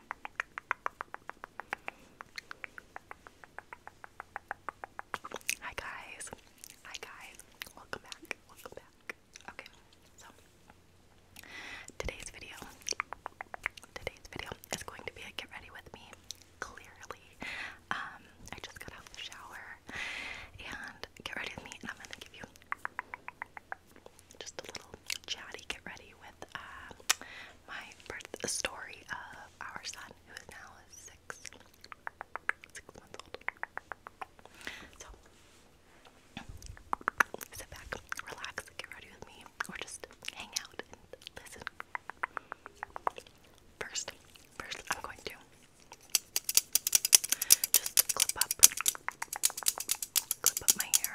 Hi guys. Hi guys. Welcome back. Welcome back. Okay. So today's video today's video is going to be a get ready with me clearly. Um I just got out of the shower and get ready with me and I'm going to give you just a little chatty get ready with uh, my birth story of our son who is now six, six months old. So sit back, relax, get ready with me, or just hang out and listen. First, first I'm going to just clip up clip of my hair.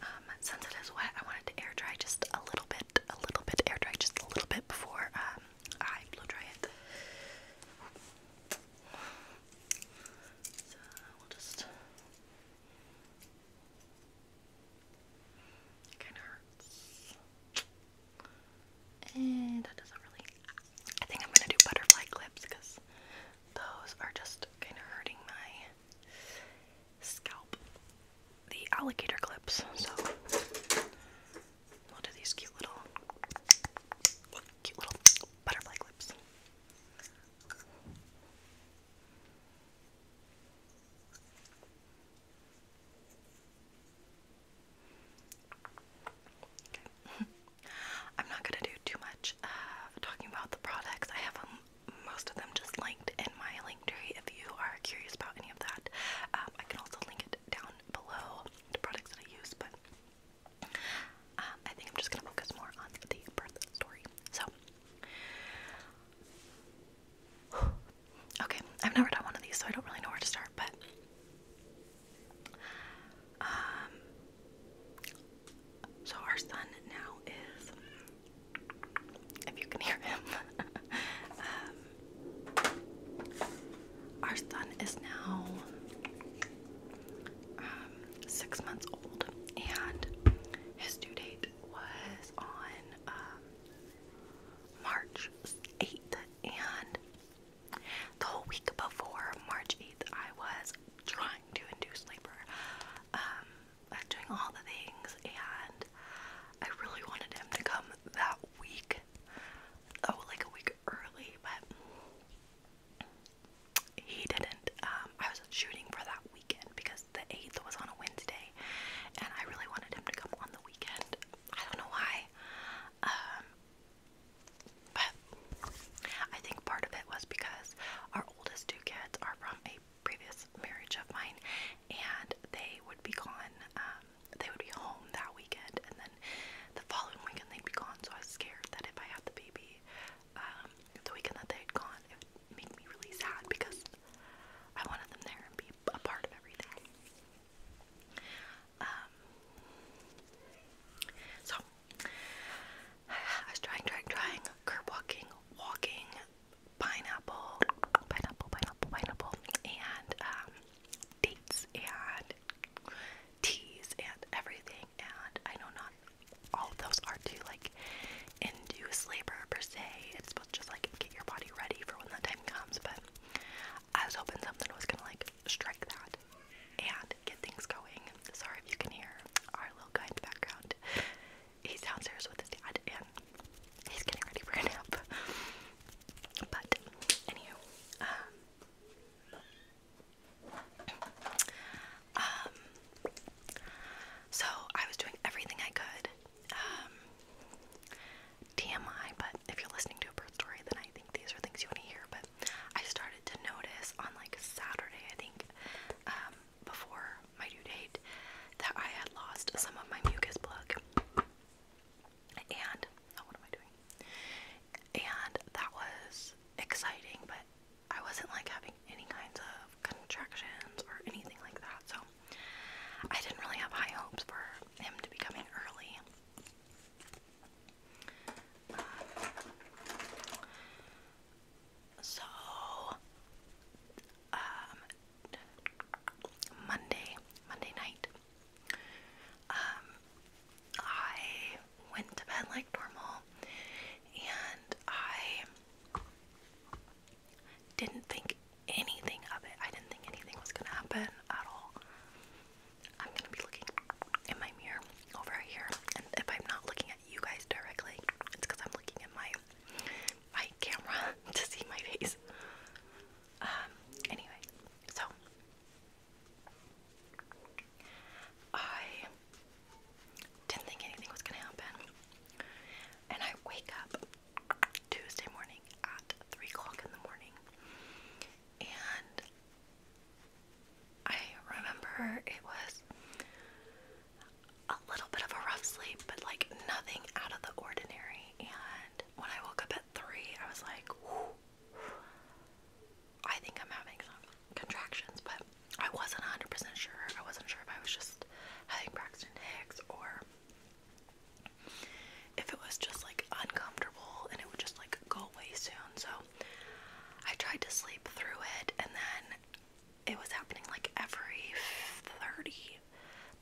Um, since it is wet, I wanted to air dry just a little bit, a little bit, air dry just a little bit before um, I blow dry it. So we'll just. It kind of hurts. And that doesn't really. I think I'm gonna do butterfly clips because those are just kind of hurting my scalp the alligator clips. So we'll do these cute little, cute little butterfly clips. Okay. I'm not gonna do too much of uh, talking about the products. I have them most of them just linked in my link tree if you are curious about any of that. Um, I can also link it down below the products that I use, but um, I think I'm just gonna focus more on the birth story. So, okay, I've never done one of these, so I don't really know where to start, but um, so our son now is, if you can hear him, um, our son is now um, six months old, and his due date was on um, March 8th, and the whole week before March 8th, I was trying to induce labor doing all the things, and I really wanted him to come that week. Oh, like a week early, but he didn't. Um, I was shooting for that weekend because the 8th was on a Wednesday, and I really wanted him to come on the weekend. I don't know why. Um, but I think part of it was because our oldest two kids are from a previous marriage of mine, and they would be gone. Um, they would be home that weekend, and then the following weekend they'd be gone. So I was scared that if I had the baby, um, the weekend that they'd gone, it would make me really sad because I wanted them there and be a part of everything. Um, so I was trying, trying, trying. Curb walking, walking, pineapple, pineapple, pineapple, pineapple, and um, dates and teas and everything. And I know not all of those are to like induce labor per se. It's supposed to just like get your body ready for when that time comes. But I was hoping something was gonna like strike that and get things going. Sorry if you can hear our little guy in the background. He's downstairs with his dad and he's getting ready for a nap. But anywho, um um so I was doing everything I could. Um but if you're listening to a birth story then I think these are things you want to hear, but I started to notice on like Saturday I think um, before my due date that I had lost some of my mucus plug. And, oh, what am I doing? And that was exciting, but I wasn't like having any kinds of contractions or anything like that, so I didn't really have high hopes for him to be coming early. So, um, Monday, Monday night, um, I went to bed like normal and I didn't think anything of it. I didn't think anything was gonna happen at all. I'm gonna be looking in my mirror over here, and if I'm not looking you guys directly. It's because I'm looking at my my camera to see my face. Um, anyway, so I didn't think anything was gonna happen, and I wake up Tuesday morning at three o'clock in the morning, and I remember it was a little bit of a rough sleep, but like nothing out of the ordinary. And when I woke up at three, I was like, Ooh, I think I'm having some contractions, but I wasn't 100% sure. I wasn't sure if I was just having Braxton Hicks or if it was just like uncomfortable and it would just like go away soon. So I tried to sleep through it, and then it was happening like every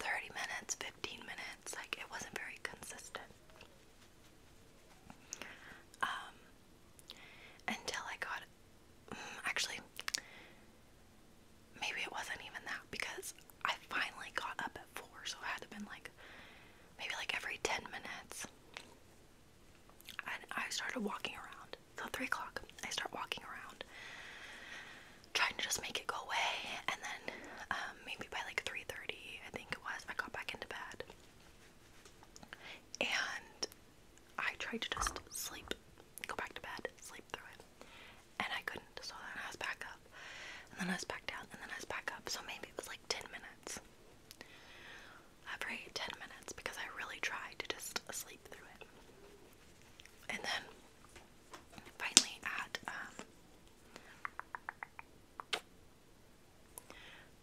30, minutes, 15 minutes. Like it wasn't very consistent. Um, until I got, mm, actually, maybe it wasn't even that because I finally got up at four, so it had been like maybe like every 10 minutes. And I started walking around till three o'clock. I start walking around, trying to just make it go away. And then um, maybe by like three thirty, I think it was, I got back into bed, and I tried to just sleep, go back to bed, sleep through it, and I couldn't. So then I was back up, and then I was back down, and then I was back up. So maybe it was like ten minutes every 10 minutes because I really tried to just sleep through it. And then finally at um,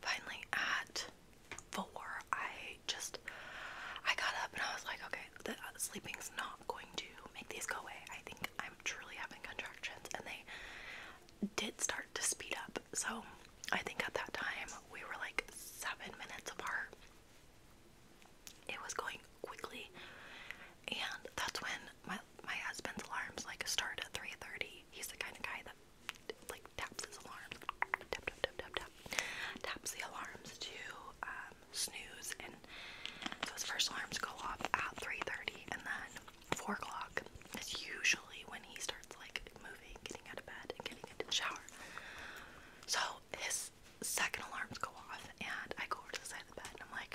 finally at 4 I just I got up and I was like, okay, the uh, sleeping's not going to make these go away. I think I'm truly having contractions and they did start to speed up. So I think at that time we were like seven minutes apart. It was going quickly, and that's when my my husband's alarms like start at three thirty. He's the kind of guy that like taps his alarms, tap tap tap tap tap, taps the alarms to um, snooze, and those first alarms go off at three thirty, and then four o'clock is usually when he starts like moving, getting out of bed, and getting into the shower. So his second alarms go off, and I go over to the side of the bed, and I'm like,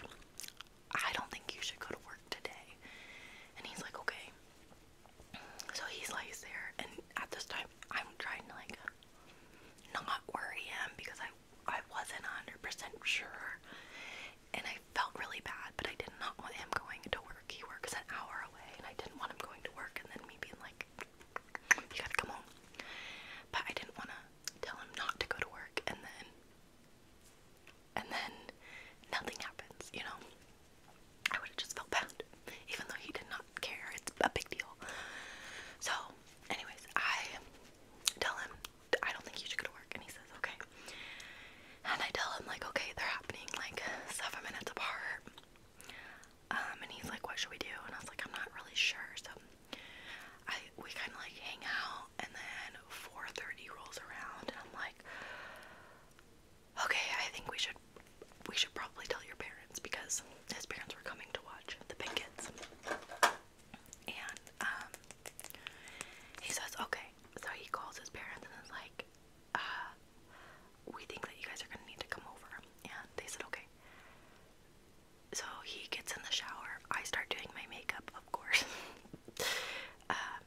I don't think you should go to work today. And he's like, okay. So he's lays there, and at this time, I'm trying to like not worry him because I I wasn't 100% sure, and I felt really bad, but I did not want him going to work he works an hour away, and I didn't want him going to work and then me being like, you gotta come home. But I didn't want to tell him not to go to work and then, and then nothing happens, you know? I would have just felt bad, even though he did not care. It's a big deal. So, anyways, I tell him, I don't think you should go to work. And he says, okay. And I tell him, like, okay, they're happening like seven minutes apart. Um, and he's like, "What should we do?" And I was like, "I'm not really sure." So I we kind of like hang out, and then 4:30 rolls around, and I'm like, "Okay, I think we should we should probably tell your parents because his parents were coming to watch the Pinkets." And um, he says, "Okay." So he calls his parents and is like, uh, we think that you guys are gonna need to come over. And they said, okay. So he gets in the shower. I start doing my makeup, of course. uh,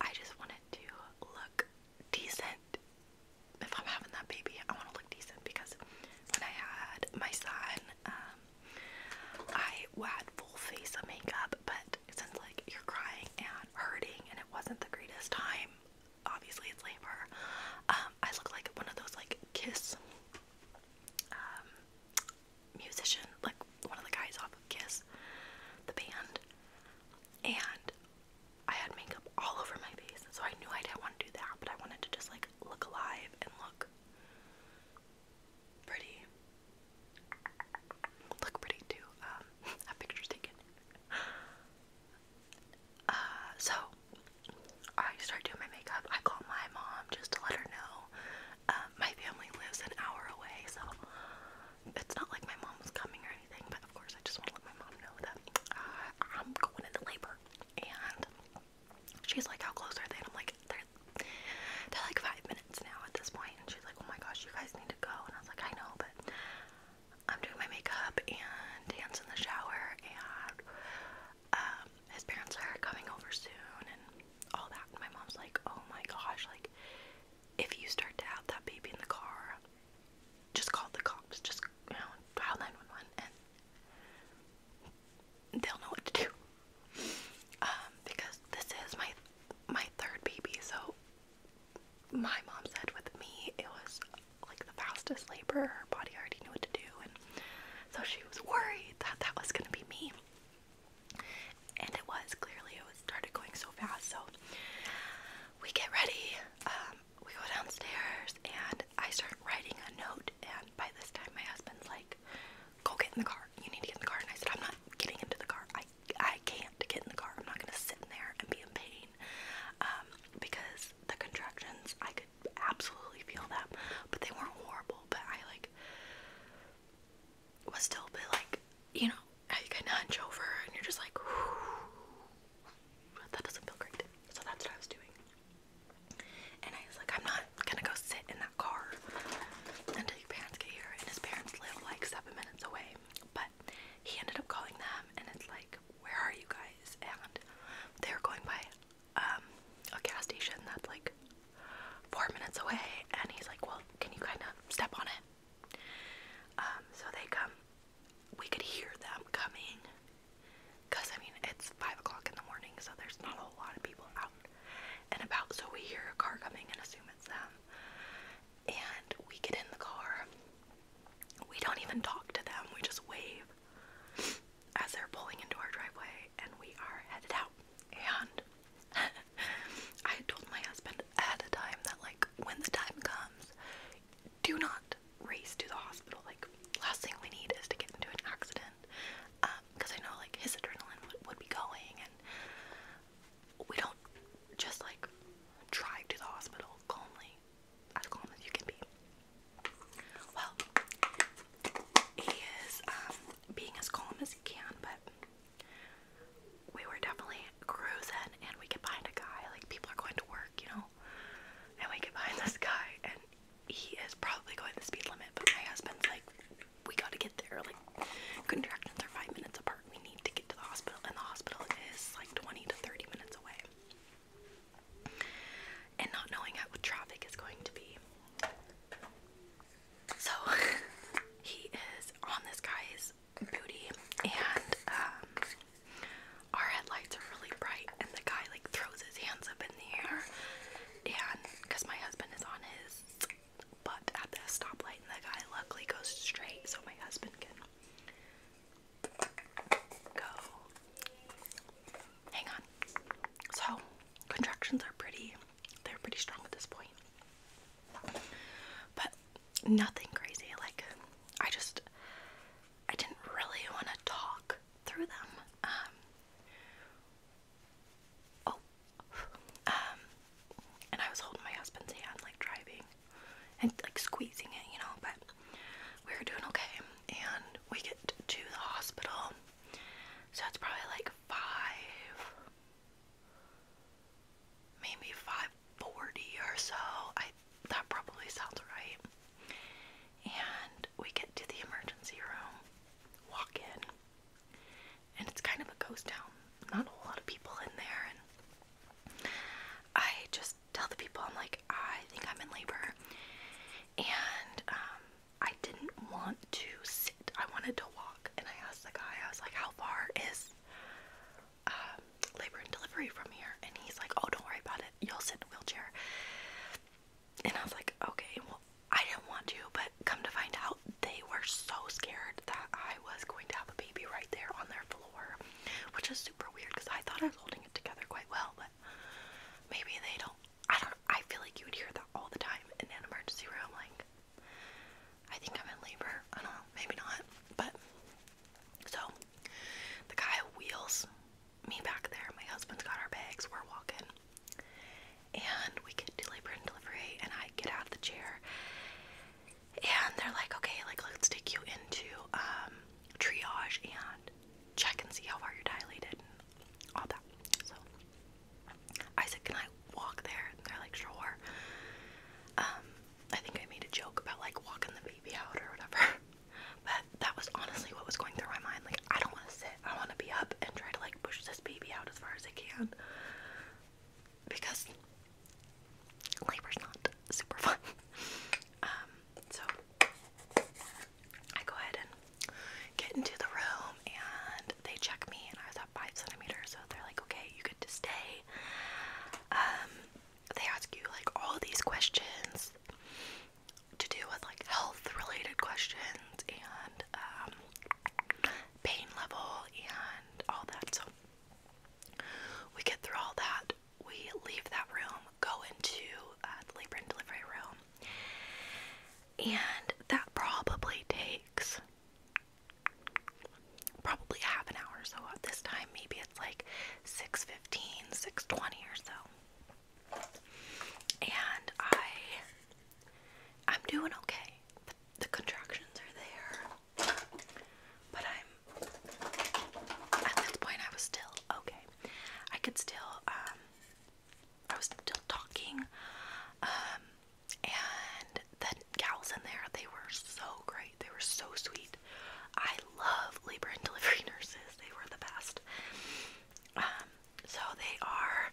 I just wanted to look decent. If I'm having that baby, I want to look decent because when I had my son, um, I had full face of makeup, but since like you're crying and hurting and it wasn't the greatest time, obviously it's labor. Um, I look like one of those like Kiss um, musicians, like one of the guys off of Kiss, the band, and I had makeup all over my face, so I knew I didn't want to do that, but I wanted to just like look alive and look pretty. Look pretty too. Um, have pictures taken. Uh, so I start doing my makeup. I call my mom just to let her know. Um, my family lives an hour away, so it's not like my mom was coming or anything, but of course, I just want to let my mom know that uh, I'm going into labor. And she's like, How close are they? And I'm like, They're, they're like five minutes now at this point. And she's like, Oh my gosh, you guys need to go. And I was like, I know, but I'm doing my makeup and dance in the shower, and um, his parents are coming over soon and all that. my mom's like, oh my gosh, like, if you start to have that baby in the car, just call the cops, just, you know, dial 911 and they'll know what to do. Um, because this is my my third baby, so my mom said with me, it was like the fastest labor. Her body already knew what to do, and so she was worried that that was gonna be me. And it was clearly it was started going so fast. So we get ready. Um, we go downstairs, and I start writing a note. And by this time, my husband's like, "Go get in the car. You need to get in the car." And I said, "I'm not getting into the car. I I can't get in the car. I'm not gonna sit in there and be in pain um, because the contractions I could absolutely feel them, but they weren't horrible. But I like was still a bit like you know how you can hunch over and you're just like that doesn't feel great. So that's what I was doing. And I was like, I'm not gonna go sit in that car until your parents get here. And his parents live like seven minutes away. But he ended up calling them, and it's like, where are you guys? And they're going by um, a gas station that's like four minutes away, and he's like, well, can you kind of step on it? Um, so they come. We could hear them coming, cause I mean it's five o'clock in the morning, so there's not a whole lot of people out and about. So we hear a car coming and assume it's them, and we get in the car. We don't even talk to them, we just wave as they're pulling into our driveway and we are headed out. And I told my husband at a time that, like, when the time comes, do not race to the hospital. Like, last thing we need is to get into an accident. Because um, I know, like, his adrenaline would, would be going, and we don't just like drive to the hospital calmly, as calm as you can be. Well, he is um, being as calm as he can, but we were definitely cruising and we could find a guy. Like, people are going to work, you know? And we could find this guy, and he is probably going the speed limit, but my husband's like, we gotta get there. Like, contractions are five minutes apart. We need to get to the hospital, and the hospital is like 20 to 30 minutes away. And not knowing how what traffic is going to be. So he is on this guy's booty, and um, our headlights are really bright, and the guy like throws his hands up in the air, and because my husband is on his butt at the stoplight, and the guy luckily goes straight, so my husband can go. Hang on. So, contractions are pretty, they're pretty strong at this point. But nothing crazy. Like, I just, I didn't really want to talk through them. Um, oh, um, and I was holding my husband's hand, like driving and like squeezing it, you know, but we are doing okay. And we get to the hospital, so it's probably like five, maybe five forty or so. I that probably sounds right. And we get to the emergency room, walk in, and it's kind of a ghost town. Not a lot of people in there, and I just tell the people, I'm like, I think I'm in labor. And um, I didn't want to sit, I wanted to walk. And I asked the guy, I was like, how far is um, labor and delivery from here? And he's like, oh, don't worry about it. You'll sit in a wheelchair. And I was like, okay, well, I didn't want to, but come to find out, they were so scared that I was going to have a baby right there on their floor which is super weird because I thought I was holding it together quite well, but maybe they don't. I don't. I feel like you would hear that all the time in an emergency room. Like, I think I'm in labor. I don't know. Maybe not. But so the guy wheels me back there. My husband's got our bags. We're walking. And we get to labor and delivery, and I get out of the chair, and they're like, okay, like let's take you into um, triage and check and see how far you're dilated all that. So I said, can I walk there? they're like, sure. Um, I think I made a joke about like walking the baby out or whatever. But that was honestly what was going through my mind. Like, I don't want to sit. I want to be up and try to like push this baby out as far as I can. Because labor's not super fun. Um, so I go ahead and get into the room and they check me and I was at five centimeters, so they're like, okay, you good to stay. Um, they ask you like all these questions to do with like health related questions and um, pain level and all that. So we get through all that. We leave that room, go into uh, the labor and delivery room, and that probably takes probably half an hour or so. this time, maybe it's like 6:15, 6:20 or so. And I, I'm doing okay. The, the contractions are there. But I'm at this point I was still okay. I could still um, I was still talking. Um, and the gals in there, they were so great. They were so sweet. I love labor and delivery nurses. They were the best. Um, so they are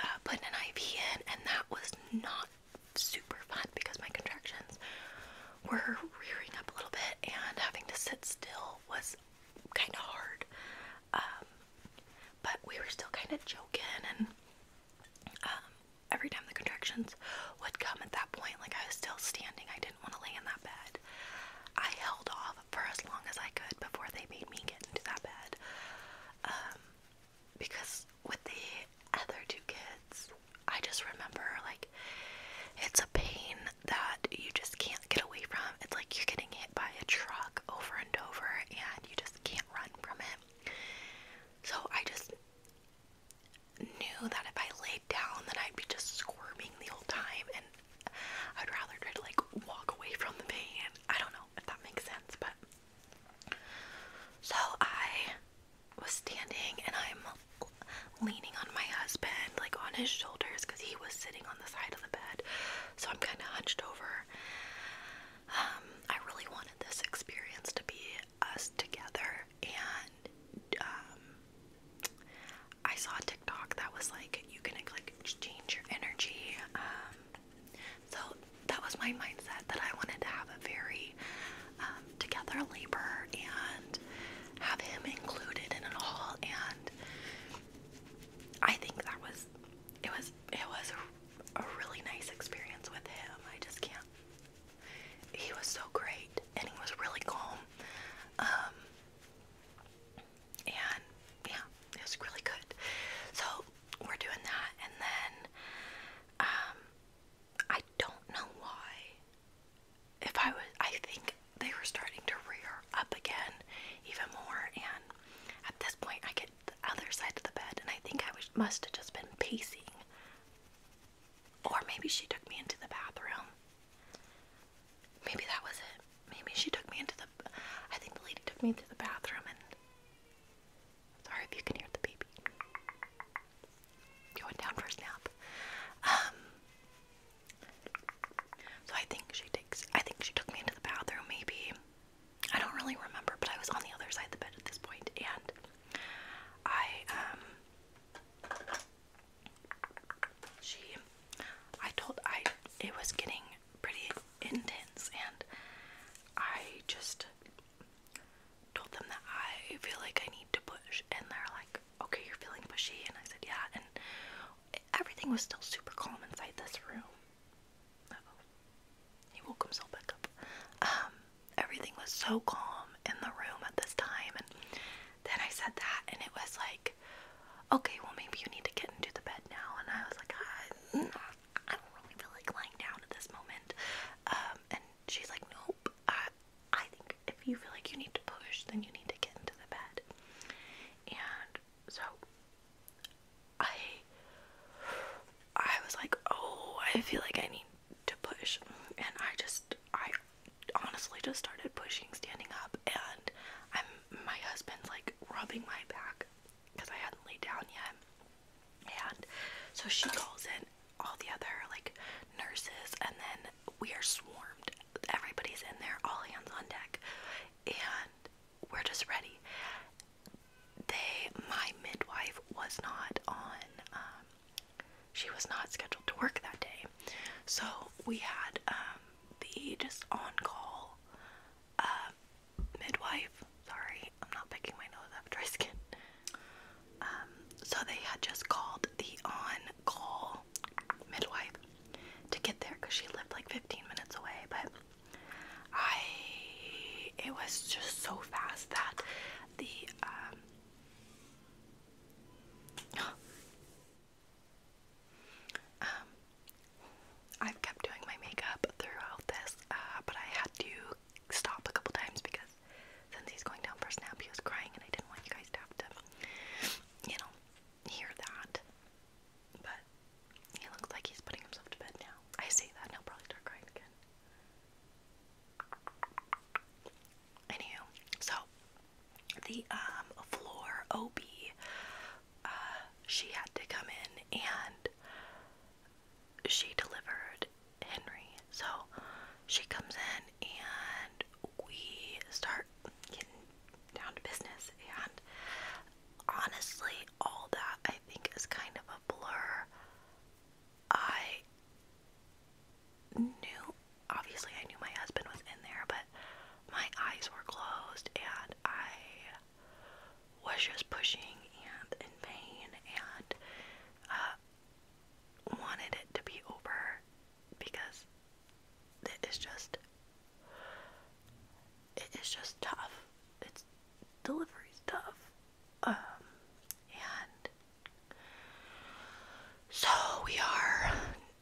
uh, putting an IV in, and that was not super fun because my contractions were rearing up a little bit and having to sit still was kind of hard. Um, but we were still kind of joking and um, every time the contractions would come at that point, like I was still standing, I didn't want to lay in that bed. I held off for as long as I could before they made me get into that bed. Um, because with the other two kids, I just remember like it's a pain that you just can't get away from. It's like you're getting hit by a truck over and over and you just can't run from it. So I just knew that if I laid down then I'd be just squirming the whole time and I'd rather try to like walk away from the pain. I don't know if that makes sense, but so I was standing and I'm leaning on my husband, like on his shoulders, because he was sitting on the side of the bed. So I'm kind of hunched over. Um, I really wanted this experience to be us together, and um, I saw TikTok that was like, you can like change your energy. Um, so that was my mindset that I wanted to have a very um, together labor and have him included in it all. And I think that was it was it was a, a really nice experience with him. I just can't. He was so great, and he was really calm. Um, and yeah, it was really good. So we're doing that, and then um, I don't know why. If I was, I think they were starting to rear up again, even more, and at this point, I get the other side of the bed, and I think I must have just been pacing, or maybe she took me into the bathroom. Maybe that was it. Maybe she took me into the. I think the lady took me into the bathroom and Sorry if you can hear the baby. Going down for a snap. Um, so I think she takes. I think she took me into the bathroom. Maybe I don't really remember, but I was on the other side of the bed at this point, and I um, she, I told I it was getting pretty intense and I just told them that I feel like I need to push and they're like, Okay, you're feeling pushy and I said yeah and everything was still super calm inside this room. He woke himself back up. Um, everything was so calm in the room at this time and then I said that and it was like okay, well maybe you need to get into the bed now and I was like, ah, I don't really feel like lying down at this moment. Um, and she's like, nope. I, I think if you feel like you need to push, then you need to get into the bed. And so I, I was like, oh, I feel like I need to push, and I just, I honestly just started pushing, standing up, and I'm my husband's like rubbing my back because I hadn't laid down yet. And so she calls in all the other like nurses, and then we are swarmed. Everybody's in there, all hands on deck, and we're just ready. They, my midwife, was not on. Um, she was not scheduled to work that day, so we had um, the just on call uh, midwife. Sorry, I'm not picking my nose after I skinned. Um, so they had just called the on-call midwife to get there because she lived like 15 minutes away. But I, it was just so fast that the um, um, I've kept doing my makeup throughout this, uh, but I had to stop a couple times because since he's going down for a nap, he was crying, and I didn't want you guys to have to, you know, hear that. But he looks like he's putting himself to bed now. I see that, and he'll probably start crying again. Anywho, so the um, floor OB, uh, she had to come in and she delivered Henry. So she comes in and we start getting down to business. And honestly, all that I think is kind of a blur. I knew, obviously, I knew my husband was in there, but my eyes were closed and I was just pushing and in vain and uh, wanted it to be over because it is just it is just tough. It's delivery's tough. Um, and so we are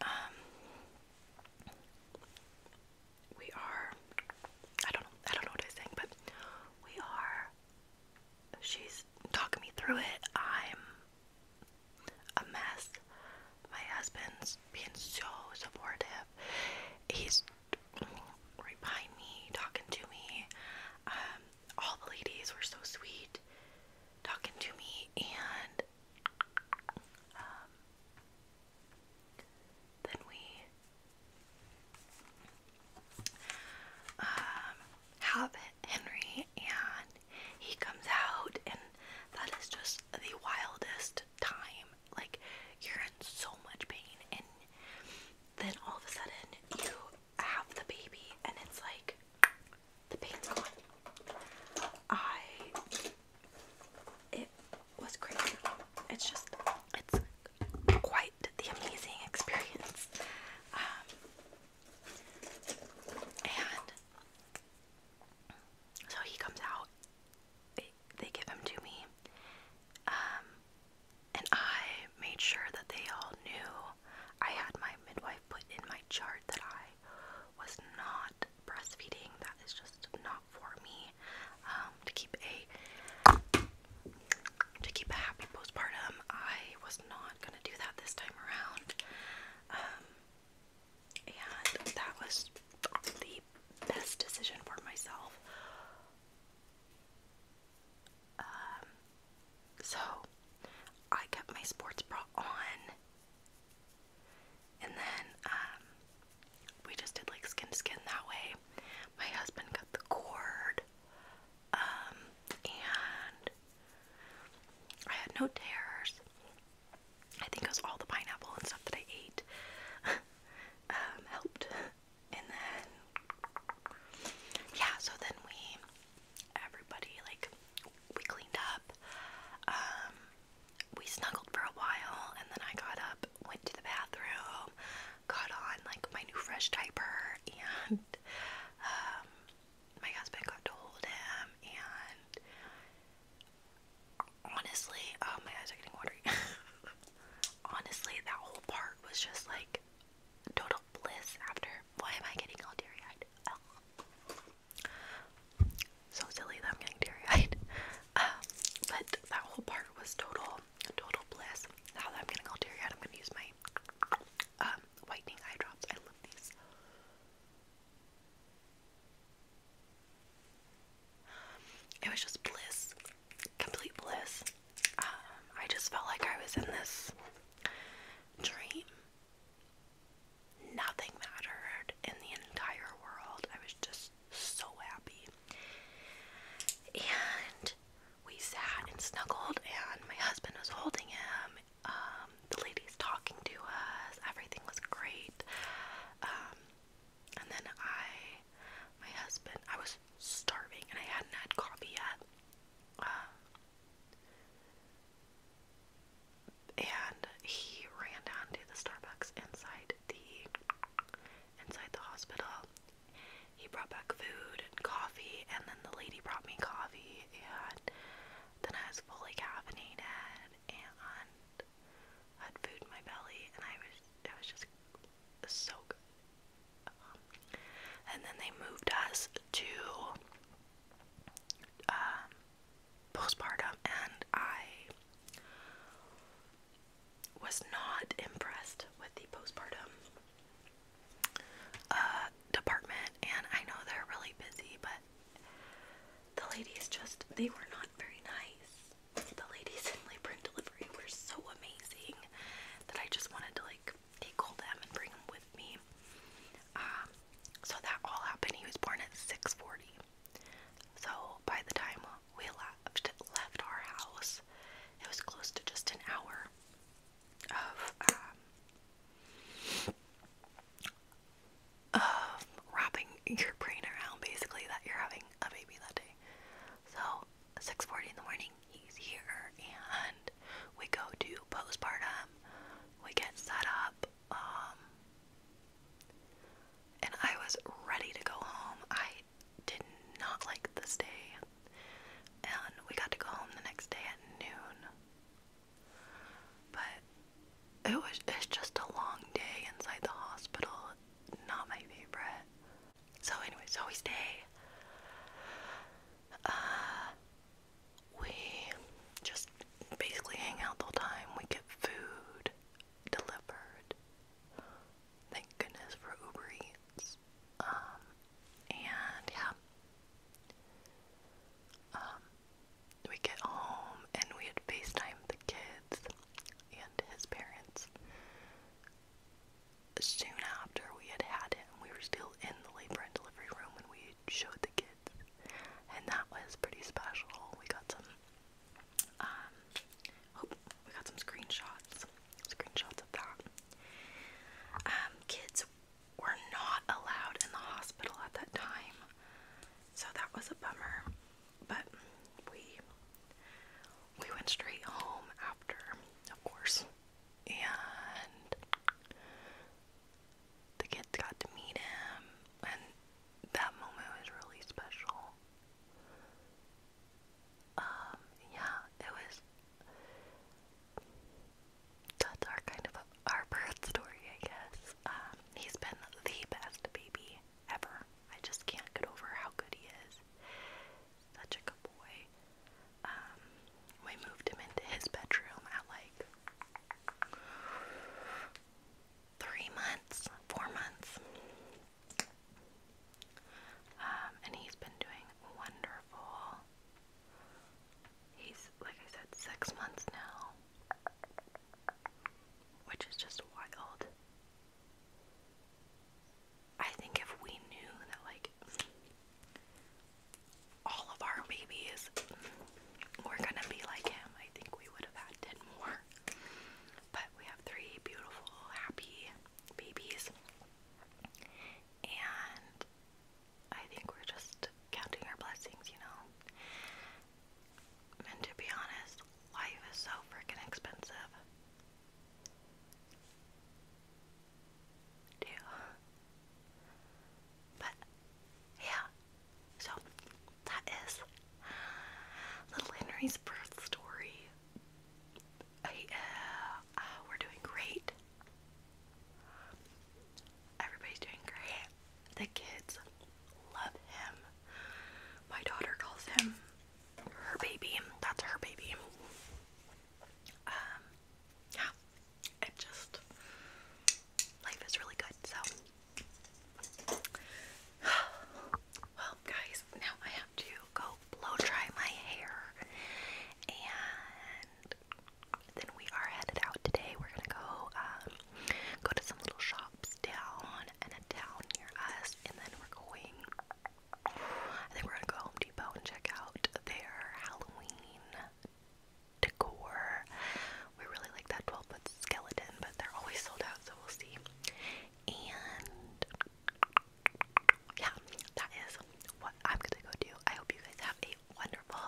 um, we are I don't know I don't know what I was saying, but we are she's talking me through it. I'm a mess. My husband's being so supportive. He's behind me, talking to me. Um, all the ladies were so sweet talking to me and um, then we um, have Henry, and he comes out, and that is just the wildest time. Like, you're in so much pain, and then all of a sudden, you have the baby, and it's like the pain's gone. I. It was crazy. It's just, it's quite the amazing experience. Um, and so he comes out, they, they give him to me, um, and I made sure that they all knew. I had my midwife put in my chart that I was not breastfeeding, that is just not for me. Um, to keep a to keep a happy postpartum. I was not gonna do that this time around, um, and that was the best decision for myself. Um, so I kept my sports bra on, and then we just did like skin to skin that way. My husband cut the cord, um, and I had no tears. I think it was all the pineapple and stuff that I ate um, helped. And then, yeah, so then we, everybody, like, we cleaned up. Um, we snuggled for a while, and then I got up up, went to the bathroom, got on like my new fresh diaper, and um, my husband got to hold him. And honestly, oh my eyes are getting watery. honestly, that whole part was just like total bliss. After why am I getting all teary eyed? So silly that I'm getting teary eyed. Um, but that whole part was total, total bliss. Now that I'm getting all teary I'm gonna use my um, whitening eye drops. I love these. It was just bliss, complete bliss. Um, I just felt like I was in this dream. Nothing mattered in the entire world. I was just so happy. And we sat and snuggled, and my husband was holding him. Um, the ladies talking to us, everything was great. Um, and then I, my husband, I was starving and I hadn't had coffee yet. Um, and he ran down to the Starbucks inside the inside the hospital. He brought back food and coffee, and then the lady brought me coffee, and then I was fully caffeinated and had food in my belly, and I was it was just so good. Um, and then they moved us to um, postpartum, and I was not impressed with the postpartum uh, department, and I know they're really busy, but the ladies just, they were not very nice. The ladies in labor and delivery were so amazing that I just wanted to like take them and bring them with me. Um, so that all happened. He was born at 640. So by the time we left, left our house. It was close to just an hour of um, of wrapping your brain around basically that you're having a baby that day. So 6:40 in the morning, he's here, and we go to postpartum. We get set up. Um, and I was ready to go home. I did not like this day. And we got to go home the next day at noon. But it was it's just a long day inside the hospital. Not my favorite. So anyway, so we stay. Uh, we just basically hang out the whole time. We get food delivered. Thank goodness for Uber Eats. Um, and yeah. Um, we get home and we had FaceTime the kids and his parents. Soon after we had had him, we were still in the labor and delivery room when we showed the kids. And that was pretty special. We got some um, oh, we got some screenshots, screenshots of that. Um, kids were not allowed in the hospital at that time, so that was a bummer. But we we went straight home after, of course, and the kids got to meet him, and that moment was really special. Um, yeah, it was. That's our kind of our birth story, I guess. Um, he's been the best baby ever. I just can't get over how good he is. Such a good boy. Um, we moved him into his bedroom at like three months, four months. Um, and he's been doing wonderful. He's, like I said, six months now, which is just wild. I think if we knew that, like, all of our babies were gonna be like him, I think we would have had 10 more. But we have three beautiful, happy babies. And I think we're just counting our blessings, you know? And to be honest, life is so freaking expensive. Too. But, yeah. So, that is Little Henry's birth story. Oh, ah, we're doing great. Everybody's doing great. The kids love him. My daughter calls him her baby. That's her baby. Um, yeah, it just life is really good. So. well, guys, now I have to go blow dry my hair, and then we are headed out today. We're gonna go um, go to some little shops down and a town near us, and then we're going. I think we're gonna go Home Depot and check out their Halloween decor. We really like that 12 foot skeleton, but they're always sold out, so we'll see. And yeah, that is what I'm gonna go do. I hope you guys have a wonderful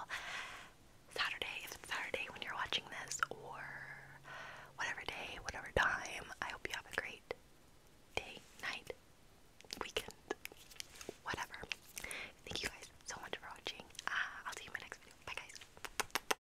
Saturday, if it's Saturday when you're watching this, or whatever day, whatever time. I hope you have a great day, night, weekend, whatever. Thank you guys so much for watching. Uh, I'll see you in my next video. Bye, guys.